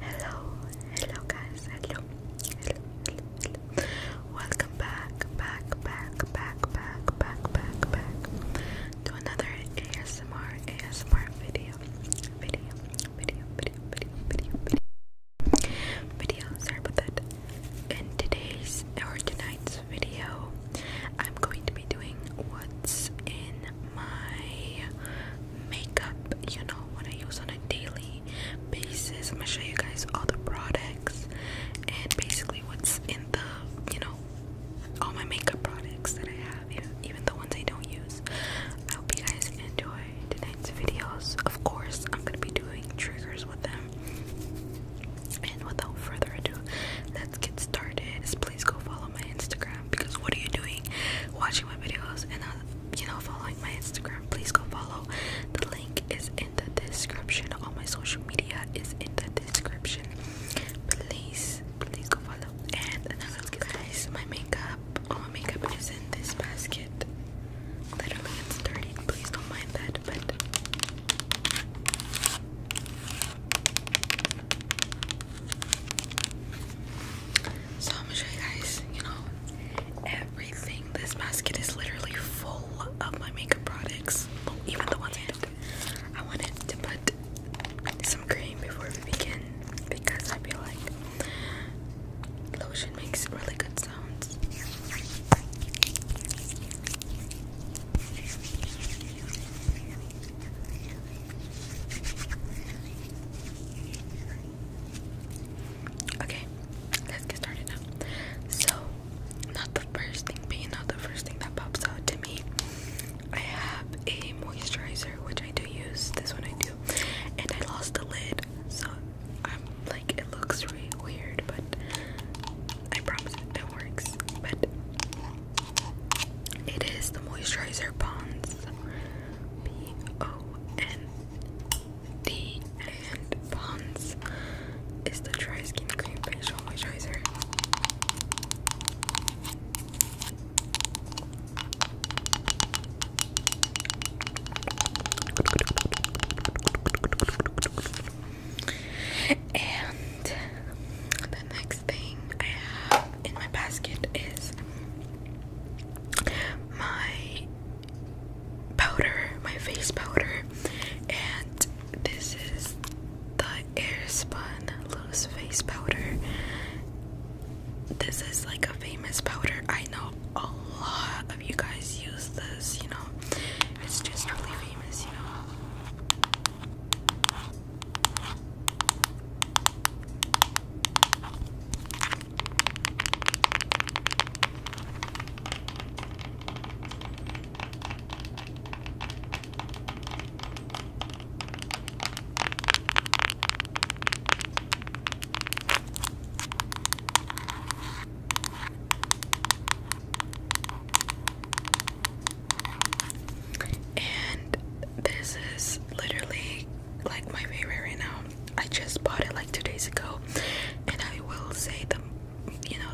Hello, hello guys, hello, Welcome back, back, back, back, back, back, back, to another ASMR, ASMR video, video, video, video, video, video, video. Sorry about that. In today's or tonight's video, I'm going to be doing what's in my makeup, you know, what I use on a daily basis. I'm gonna show you guys all the products and basically what's in the, you know, all my makeup products that I have, even the ones I don't use. I hope you guys enjoy tonight's videos. Of course, I'm gonna be doing triggers with them. And without further ado, let's get started please go follow my Instagram because what are you doing watching my videos and uh, you know, following my Instagram? Please go follow. The link is in the description. All my social media is in the description. Please, please go follow. And now let guys, my makeup. All my makeup is in this basket. Literally, it's dirty. Please don't mind that, but. So I'm gonna show you guys, you know, everything. This basket is literally full of my makeup products. Well, even the ones I I wanted to put some cream before we begin because I feel like lotion makes really good sounds. Okay, let's get started now. So, not the first thing, but the first thing that pops out to me, I have a moisturizer which I do use. This one I do, and I lost the lid, so I'm like, it looks really weird, but I promise it, it works. But it is the moisturizer bonds. P O N D and Pond's is the dry skin cream facial moisturizer. And the next thing I have in my basket is my powder, my face powder, and this is the Airspun Loose Face Powder. This is like a famous powder. I know a lot of you guys use this, you know. It's just really famous, you know. And this is literally like my favorite right now. I just bought it like two days ago, and I will say the, you know,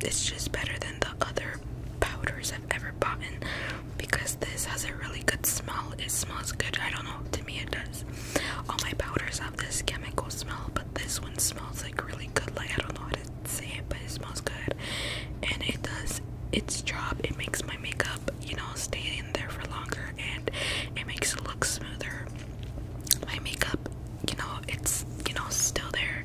it's just better than the other powders I've ever bought in because this has a really good smell. It smells good. I don't know. To me, it does. All my powders have this chemical smell, but this one smells like really good. Like I don't know how to say it, but it smells good, and it does its job. It makes my makeup you know, stay in there for longer and it makes it look smoother. My makeup, you know, it's, you know, still there.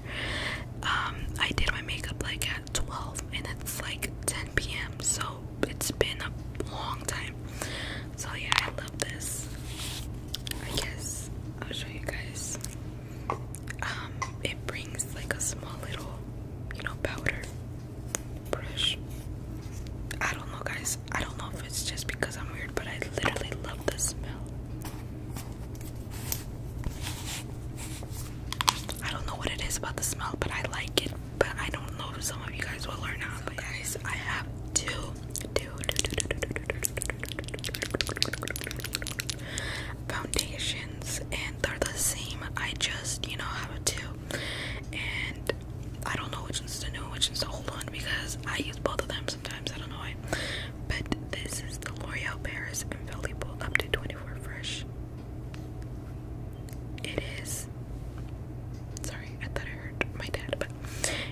Um, I did my makeup like at 12 and it's like 10 p.m. So it's been a long time. So yeah, I love this. I guess I'll show you guys. Um, it brings like a small little, you know, powder brush. I don't know, guys. I don't know if it's just because I'm weird, but I literally love the smell. I don't know what it is about the smell, but I like it. But I don't know if some of you guys will or not. But guys, I have two, two, two, two, two, two, two foundations, and they're the same. I just, you know, have two and I don't know which one's the new, which one's the old because I use both of them sometimes. I don't know why. But this is the L'Oreal Paris Invaluable Up to 24 Fresh. It is. Sorry, I thought I heard my dad, but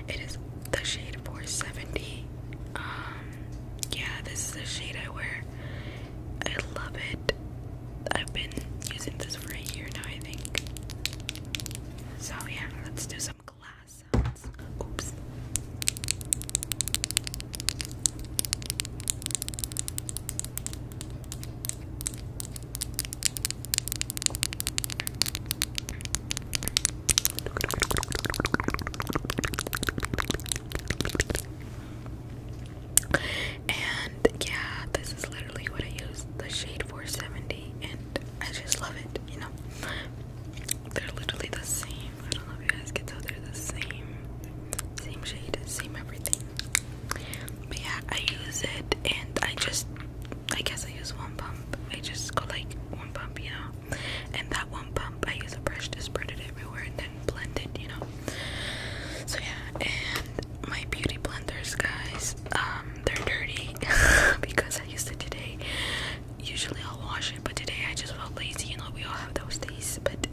it is the shade 470. Um, yeah, this is the shade I wear. I love it. I've been using this for a year now, I think. So, yeah, let's do some glass Oops. And yeah, this is literally what I use the shade 470, and I just love it, you know. They're literally the same. I don't know if you guys can tell they're the same, same shade, same everything. But yeah, I use it, and I just, I guess I use one pump. I just go like one pump, you know, and that one pump I use a brush to spread it everywhere, and then Blended, you know. So yeah, and my beauty blenders, guys, um, they're dirty because I used it today. Usually I'll wash it, but today I just felt lazy. You know, we all have those days, but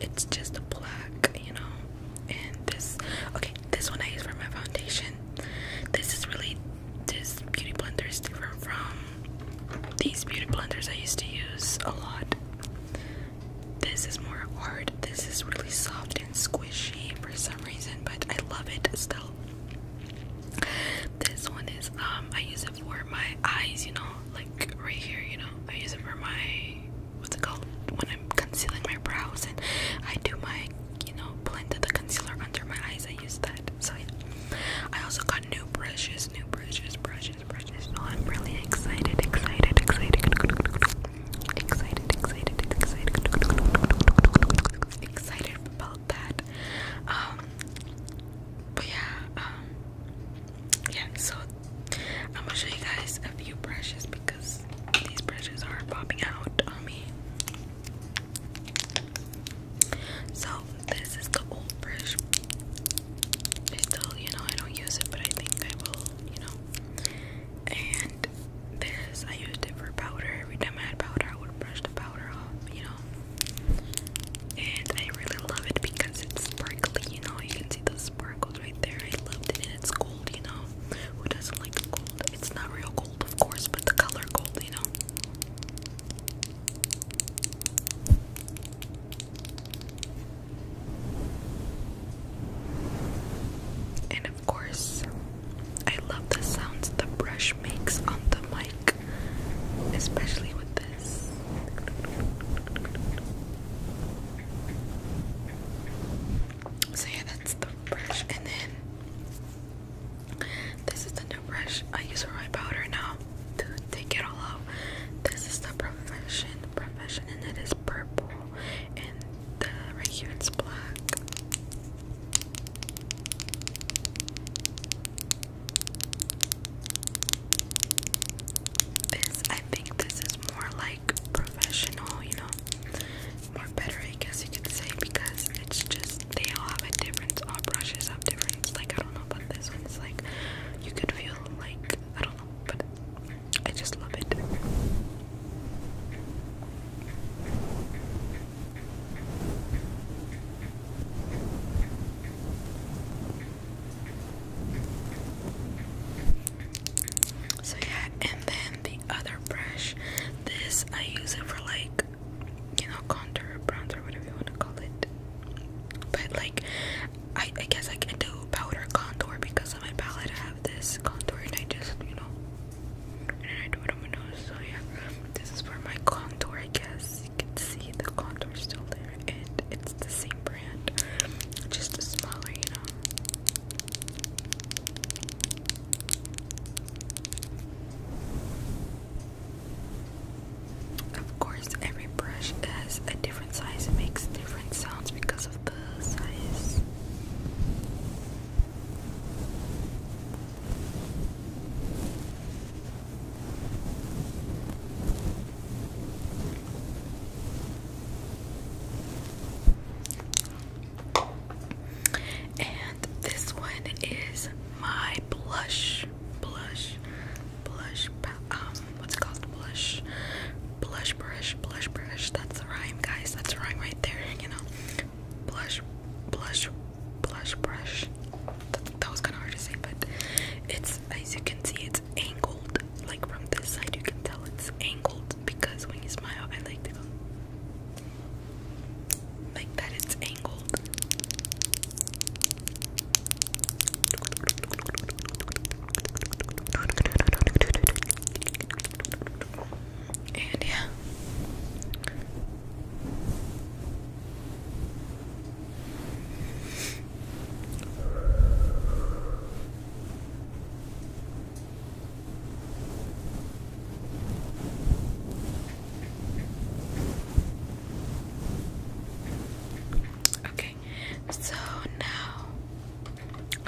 it's just a black, you know. And this, okay, this one I use for my foundation. This is really this beauty blender is different from these beauty blenders I used to use a lot. This is more hard. This is really soft and squishy for some reason, but I love it still. This one is um I use it for my eyes, you know, like right here, you know. I use it for my what's it called when I'm concealing my brows and I do my you know blend of the concealer under my eyes. I use that. So yeah. I also got new brushes, new brushes, brushes, brushes. So I'm really excited, excited, excited excited, excited, excited, excited about that. Um, but yeah, um, yeah. So I'm gonna show you guys a few brushes because these brushes are popping out on me. So this is the old brush. still, you know, I don't use it, but I think I will, you know and this I used it for powder. Every time I had powder, I would brush the powder off, you know. And I really love it because it's sparkly, you know. You can see the sparkles right there. I love it, and it's gold, you know. Who doesn't like gold? It's not real gold, of course, but the color gold, you know. And of course, I love the sounds the brush makes on the mic, especially with this. So, yeah, that's the brush. And then this is the new brush I use for my powder now to take it all off. This is the profession, profession, and it is purple and the uh, right here it's black. This I think this is more like professional, you know, more better I guess you could say because it's just they all have a difference. All brushes have difference. Like I don't know about this one. It's like you could feel like I don't know, I just love it. So yeah, and then the other brush, this I use it for like, you know, contour, bronzer, whatever you want to call it. But like, I guess I can do powder contour because on my palette I have this contour and I just, you know, and I do it on my nose. So yeah, this is for my contour, I guess. You can see the contour still there and it's the same brand, just a smaller, you know. Of course, every brush has a different size, it makes different sounds because of the size. And this one is my blush, blush, blush, um, what's it called? Blush Blush brush, blush brush. That's the rhyme, guys. That's the rhyme right there, you know. Blush, blush, blush brush. That, that was kind of hard to say, but it's, as you can see, it's angled. Like from this side, you can tell it's angled because when you smile, I like to go like that, it's angled. And yeah. Okay, so now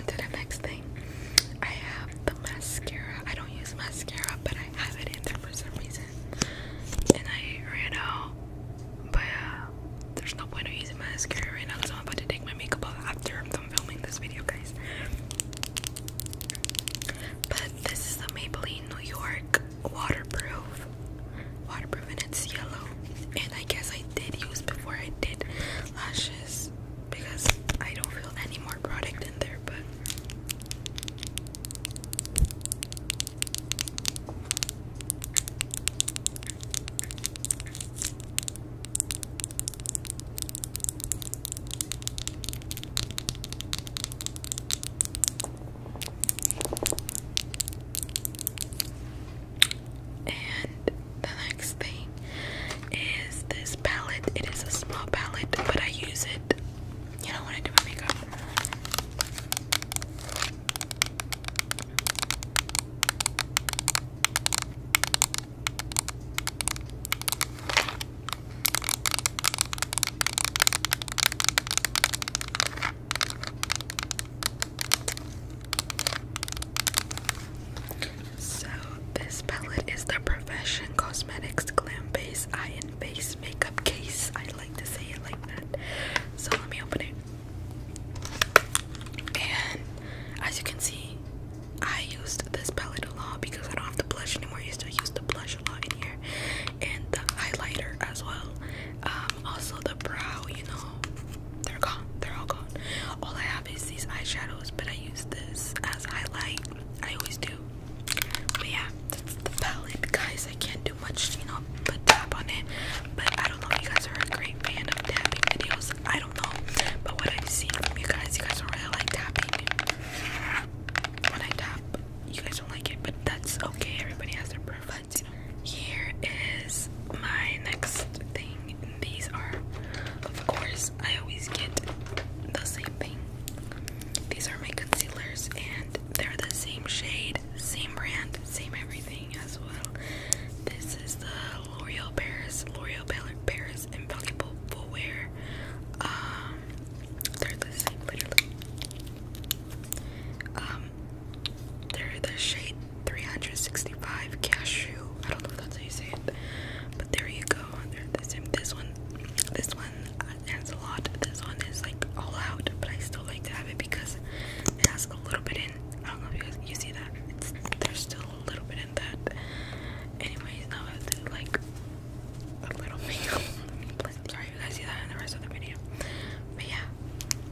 to the next thing. I have the mascara. I don't use mascara, but I have it in there for some reason. And I ran out. But uh, there's no point in using mascara right now because I'm about to take my makeup off after I'm done filming this video, guys. But this is the Maybelline New York waterproof. Waterproof and it's yellow. And I guess I did use before I did lashes because I don't feel any more product in there, but and the next thing is this palette. It is a small palette, but I use it, you know, when I do my makeup. So this palette is the Profession Cosmetics Glam Base Eye and Face Makeup Case. I like to say it like that. So let me open it. And as you can see, I used this palette a lot because I don't have the blush anymore. I used to use the blush a lot in here, and the highlighter as well. Um, also the brow, you know, they're gone. They're all gone. All I these eyeshadows, but I use this as highlight. I always do. But yeah, the palette, guys. I can't do much, you know, but tap on it. But I don't know if you guys are a great fan of tapping videos. I don't know. But what I've seen from you guys, you guys do really like tapping. When I tap, you guys don't like it, but that's okay. Everybody has their preference, Here is my next thing these are, of course, I always get the same thing. These are my concealers, and they're the same shade, same brand, same everything as well. This is the L'Oreal Paris, L'Oreal Paris Invaluable Full Wear. Um, they're the same, literally. Um, they're the shade 365 Cashew. I don't know if that's how you say it, but there you go they're the same. This one, this one adds a lot. This one is like all out, but I still like to have it because it has a little bit in. I don't know if you guys you see that. It's, there's still a little bit in that. Anyways, now I have to do like a little makeup. Sorry, you guys see that in the rest of the video. But yeah,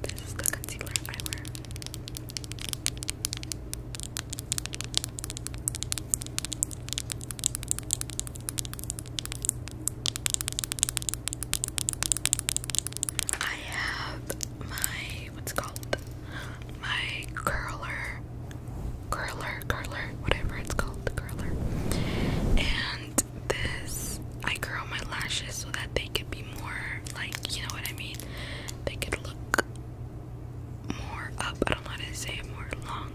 this is the concealer I wear. I have my what's called my curler curler curler whatever it's called the curler and this I curl my lashes so that they could be more like you know what I mean they could look more up. I don't know to say more long.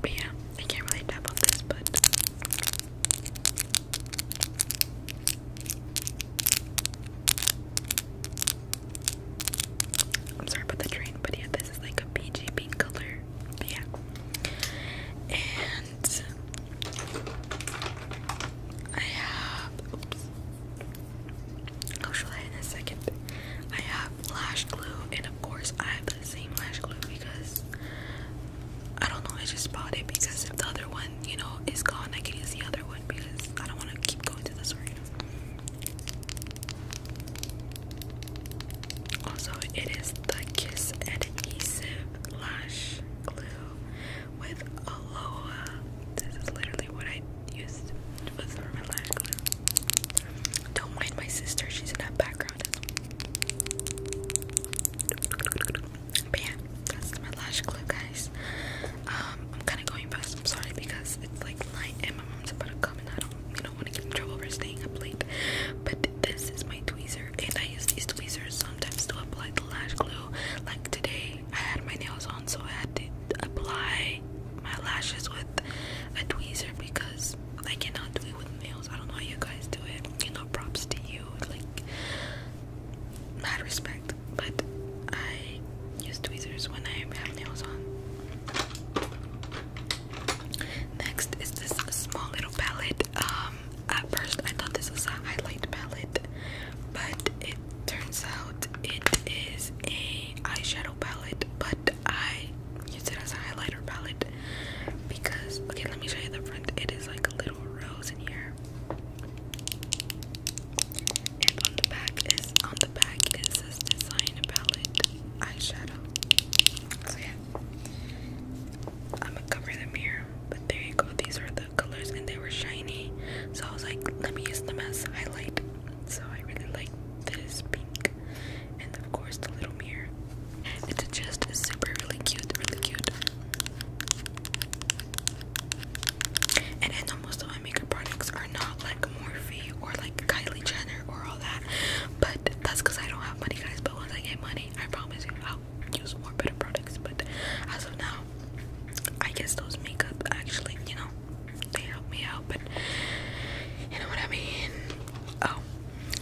But yeah, I can't really tap on this, but I'm sorry about the train, but yeah, this is like a peachy pink color. yeah. And I have I'll show that in a second. I have lash glue, and of course, I have the same lash glue because I don't know. I just bought it because if the other one, you know, is gone, I can use the other one because I don't want to keep going to the store. Also, it is the Kiss Adhesive Lash Glue with Aloha. This is literally what I used was for my lash glue. Don't mind my sister, she's in that background But yeah, that's my lash glue, guys. Um, I'm kind of going fast, I'm sorry, because it's like night, and my mom's about to come and I don't, you know, want to get in trouble for staying up late. But this is my tweezer, and I use these tweezers sometimes to apply the lash glue. Like today, I had my nails on so I had to apply my lashes with a tweezer because I cannot do it with nails. I don't know how you guys do it. You know, props to you. Like, mad respect. But I use tweezers when I have nails on. Next is this small little palette. Um, at first I thought this was a highlight palette, but it turns out it is a eyeshadow palette. But but I use it as a highlighter palette because okay let me show you the front it is like a little rose in here and on the back is on the back it says design palette eyeshadow so yeah I'm gonna cover the mirror but there you go these are the colors and they were shiny so I was like let me use them as highlight so I really like that is pink, and of course the little mirror. It's just super really cute, really cute. And I know most of my makeup products are not like Morphe or like Kylie Jenner or all that, but that's because I don't have money, guys. But once I get money, I promise you I'll use more better products. But as of now, I guess those makeup actually, you know, they help me out, but you know what I mean? Oh,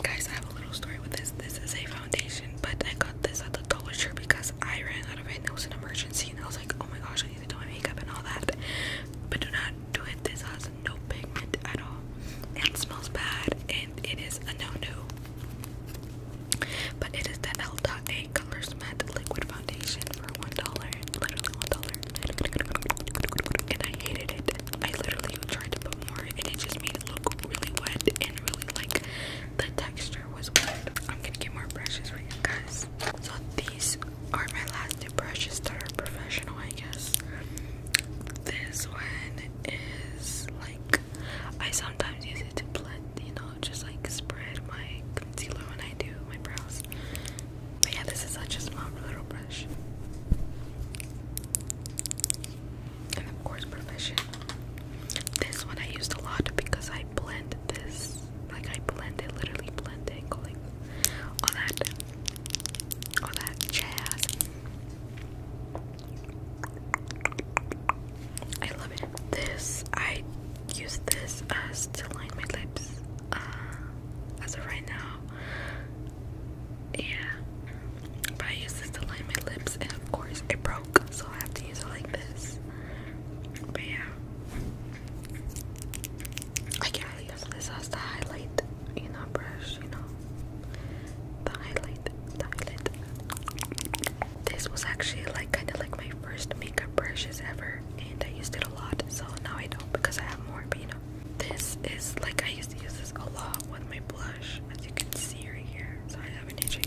guys, I have a little story with this. This is a foundation, but I got this at the Dollar Tree because I ran out of it. It was an emergency, and I was like, oh my gosh, I need to do my makeup and all that. But do not do it. This has no pigment at all. It smells bad, and it is a no-no. But it is the L.A. Colors Matte Liquid Foundation for one dollar, literally one dollar and I hated it. I literally tried to put more, and it just made it look really wet and really like the texture was weird. I'm gonna get more brushes for you guys. So these are my last two brushes that are professional, I guess. This one is like I sometimes use it to blend, you know, just like spread my concealer when I do my brows yeah, this is such a small little brush. And of course, Profession. This one I used a lot because I blend this. Like, I blend it, literally blend it, like all that, all that jazz. I love it. This, I use this as uh, to line my lips. Uh, as of right now, yeah. But I used this to line my lips, and of course it broke, so I have to use it like this. But yeah, I can't use this as the highlight, you know, brush, you know, the highlight, the highlight. This was actually like kind of like my first makeup brushes ever, and I used it a lot. So now I don't because I have more, but you this is like I used to use this a lot with my blush, as you can see right here. So I have an itchy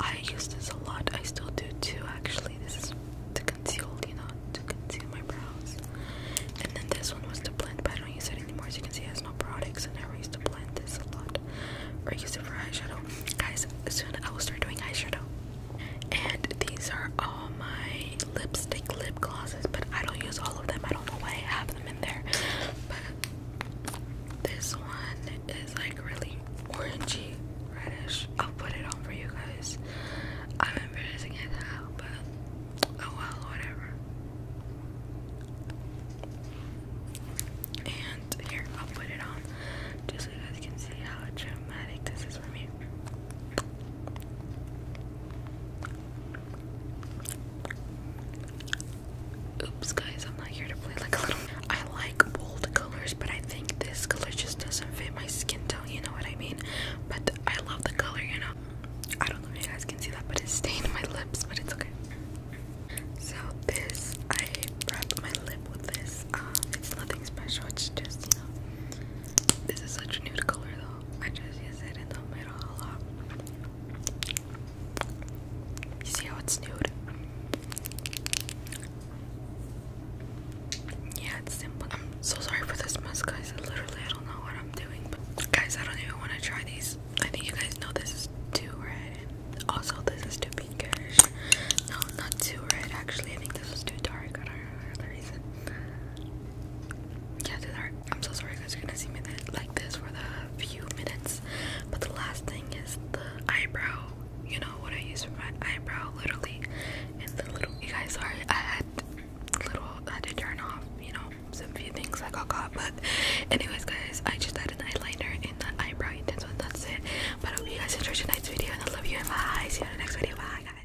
I use this a lot. I still do too. Actually, this is to conceal, you know, to conceal my brows. And then this one was to blend, but I don't use it anymore. As you can see, it has no products, and I used to blend this a lot, or use for eyeshadow. Guys, soon I will start doing eyeshadow. And these are all my lipstick lip glosses, but I don't use all of them. I don't know why I have them in there. this one is like really orangey, reddish. I'll put it on for you guys. I'm embarrassing it now, but oh well, whatever. And here, I'll put it on just so you guys can see how dramatic this is for me. Oops, guys, I'm not here to play like a little. I like bold colors, but I think this color just doesn't fit my skin tone, you know what I mean? But I love the color, you know? I don't know if you guys can see that, but it's stained my lips, but it's okay. So, this, I wrapped my lip with this. Um, it's nothing special, it's just, you know, this is such a nude color though. I just use it in the middle a lot. You see how it's nude? Yeah, it's simple. I'm so sorry for this mess, guys. I literally, I don't know what I'm doing. But guys, I don't even want to try these. I think you guys know this is too red. also, this is too pinkish. No, not too red. Actually, I think this was too dark. I don't know the reason yeah, these I'm so sorry you guys are gonna see me like this for the few minutes. But the last thing is the eyebrow. You know what I use for my eyebrow, literally. And the little. You guys, are. I had little. I had to turn off. You know, some few things I got caught. But anyways, guys, I just had an eyeliner and the eyebrow intense one. That's it. But I hope you guys enjoyed tonight's video, and I love you. in my eyes. See you in the next video. Bye, guys.